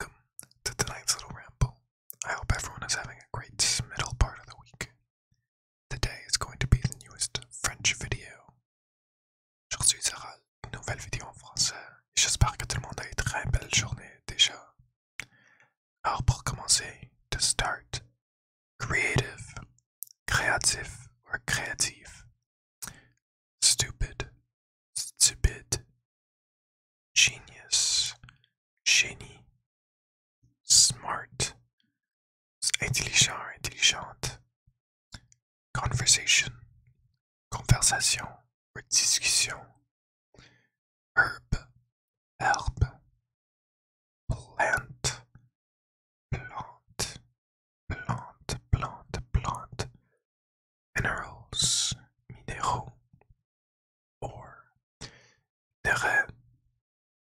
Welcome to tonight's little ramble. I hope everyone is having a great middle part of the week. Today is going to be the newest French video. Je Aujourd'hui sera une nouvelle vidéo en français. et J'espère que tout le monde a une très belle journée déjà. Alors pour commencer, to start, creative, créatif or creative Stupid, stupid, genius, genie, smart, intelligent, intelligente, conversation, conversation, discussion, herb, herb, plant, plant, plant, plant, plant, minerals, mineraux, or terrain,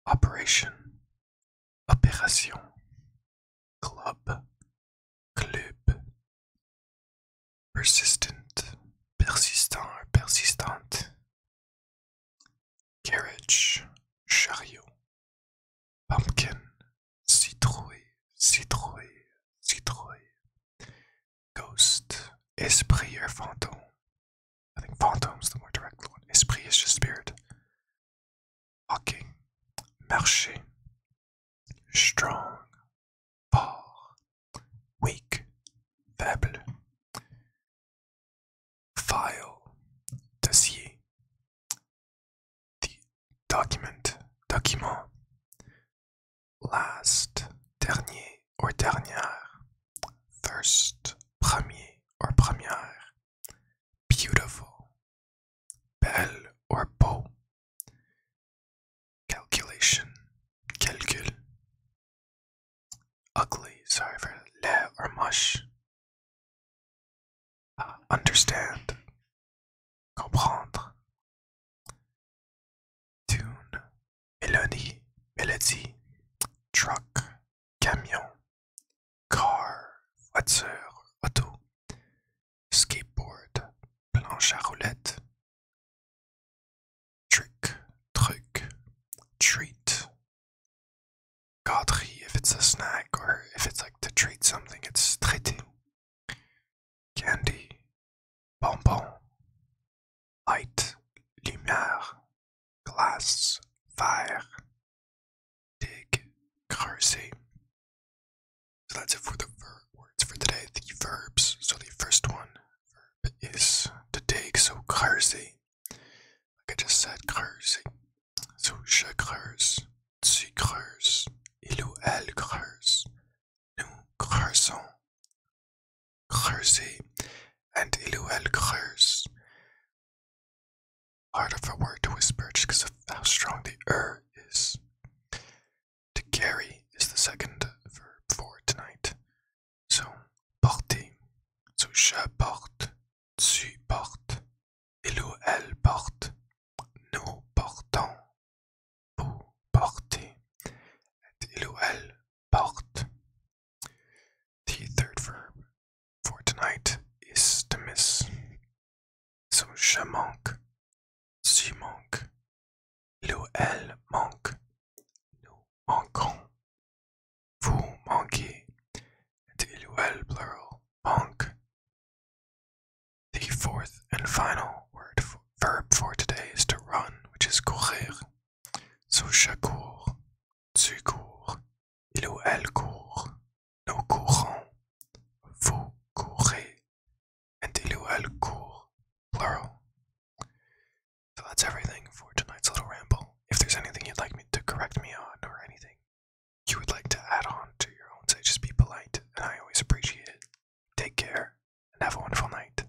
operation, opération, club, club, persistent, persistant, persistante, Carriage, chariot. Pumpkin, citrouille, citrouille, citrouille. Ghost, esprit or fantôme. I think phantome's the more direct one. Esprit is just spirit. Walking, marché. Strong, fort. Weak, faible file dossier the document document last dernier or dernière first premier or première beautiful belle or beau Calculation. Calcul. Ugly. Sorry for le or mush. Ah, understand. Comprendre. Tune. Melody. Melody. Truck. Camion. Car. Voiture. Auto skateboard, planche à roulette, truc, truc, treat. Godry, if it's a snack or if it's like to treat something, it's traité. Candy, bonbon, light, lumière, glace, verre, dig, creuser, so that's it for the verb words for today. The verbs. So the first one verb is to take. So kırzi. Like I just said, kırzi. So je creuse, tu creuses, il ou elle creuse, nous creusons, creuser, and il ou elle creuse hard of a word to whisper just because of how strong the r er is. To carry is the second verb for tonight. So, porter. So, je porte, tu portes, il ou elle porte, nous portons, vous portez, et il ou elle porte. The third verb for tonight is to miss. So je manque, tu manques, l'eau elle manque, nous manquons, vous manquez, and il plural manque. The fourth and final verb for today is to run, which is courir. Sous cour, tu cours, il ou elle court, nous courons, vous courez, Et il ou elle court, plural. So that's everything for tonight's little ramble. If there's anything you'd like me to correct me on or anything you would like to add on to your own say, just be polite, and I always appreciate it. Take care, and have a wonderful night.